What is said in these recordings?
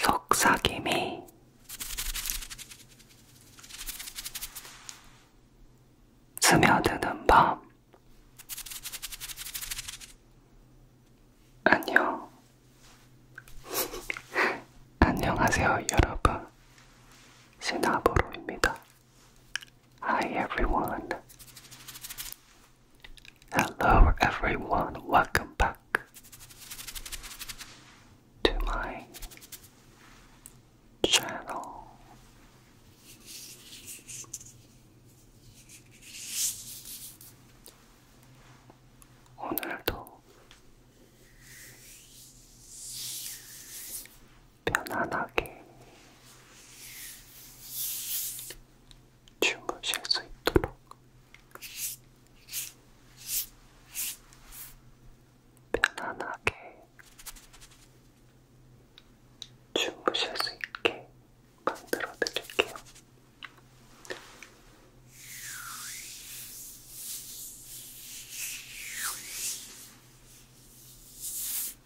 속삭임이 스며드는 밤 안녕 안녕하세요 여러분 시나보로입니다 Hi everyone. Hello everyone, welcome back to my channel. 오늘도 편안하게 주무실 수 있도록 편안하게 주무실 수 있게 만들어 드릴게요.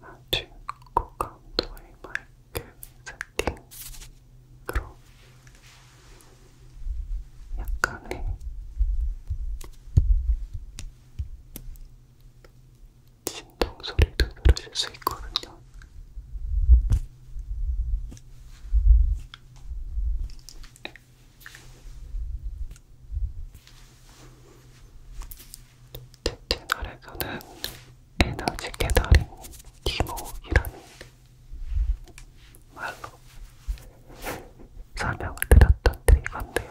아주 고감도의 마이크 세팅으로 약간의 진동 소리도 들으실 수 있거든요. 채널에서는 에너지 깨달은 디모이라는 말로 설명을 드렸던 드리건데요.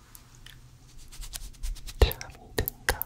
잠이 든다. 잠이 든다.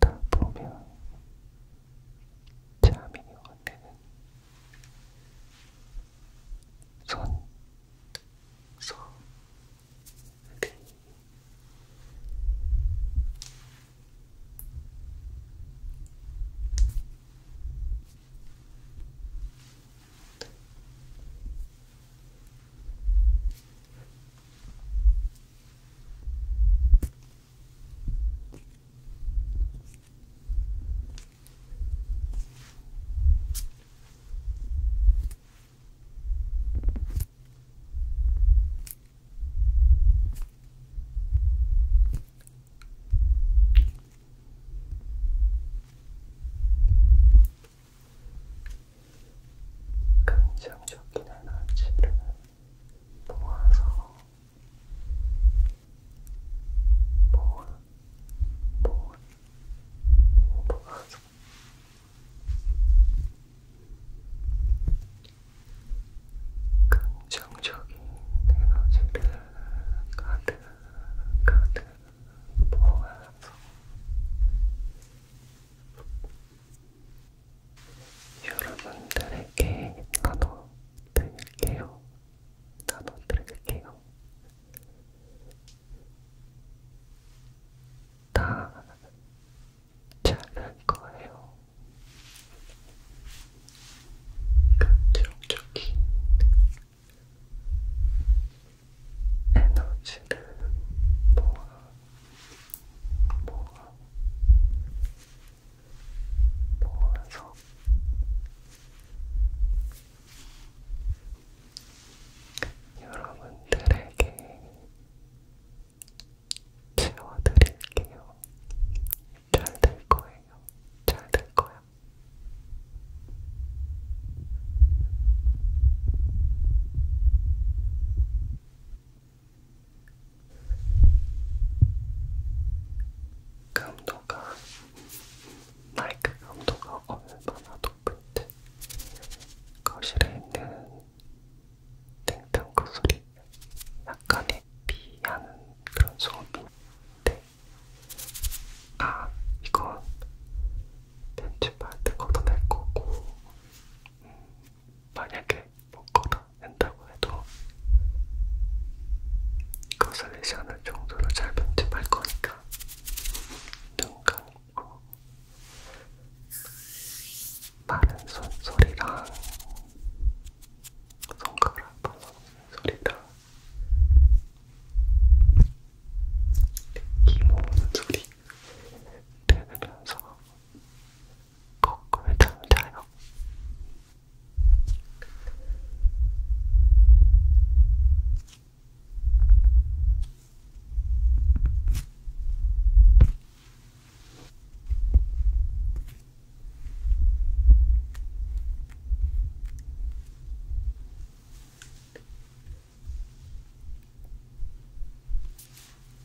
듣다 보면 잠이 오는 손, 손, 리 그 긍정적인 에너지를 모아서 모은 모은 모아서 긍정적인 에너지를 가득 가득 모아서 여러분들에게 나눠드릴게요. 나눠드릴게요. 다 잘할 거예요. 긍정적인 에너지를 모아 모아 모아서 여러분들에게 채워드릴게요. 잘 될 거예요. 잘 될 거야. 감도가 그 마이크 감도가 그 얼마나 높은지 거실에 있는 땡땡구 소리 약간의 비하는 그런 소음인데 아 이건 편집할 때 걷어낼 거고 음, 만약에 먹거나 뭐 한다고 해도 그것을 내지 않을 정도로 잘 편집할 거니까 눈 감고 마른 손소리랑 손가락 발라먹는 소리랑 기 모으는 소리 들으면서 거꾸로 잠자요.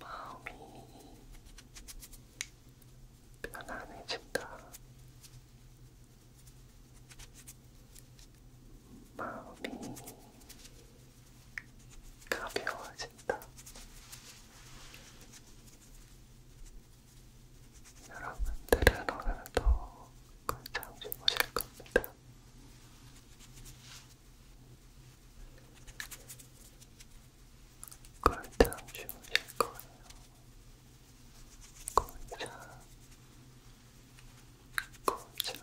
마음이 편안해진다. 마음이 가벼워진다. 여러분들은 오늘도 한참 주무실 겁니다. 골참 주무실 거예요. 골참, 골참, 골참.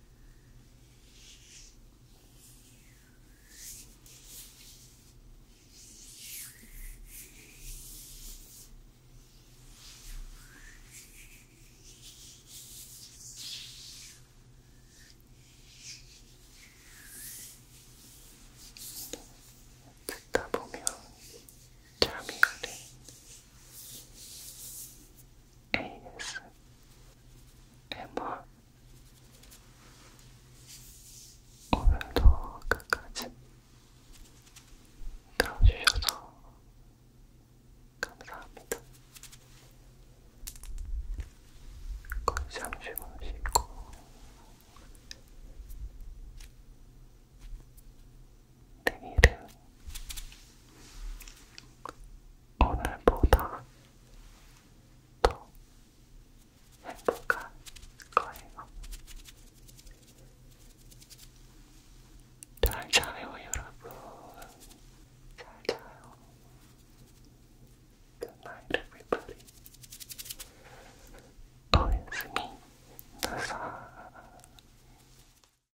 듣다 보면 잠이 오네. ASMR 오늘도 끝까지 들어주셔서 감사합니다. 거의 잠시 마시고 내일은 오늘보다 더 행복한 거예요. 잘 자요, 여러분. 잘 자요. Good night, everybody. 어, 예수님, 나사.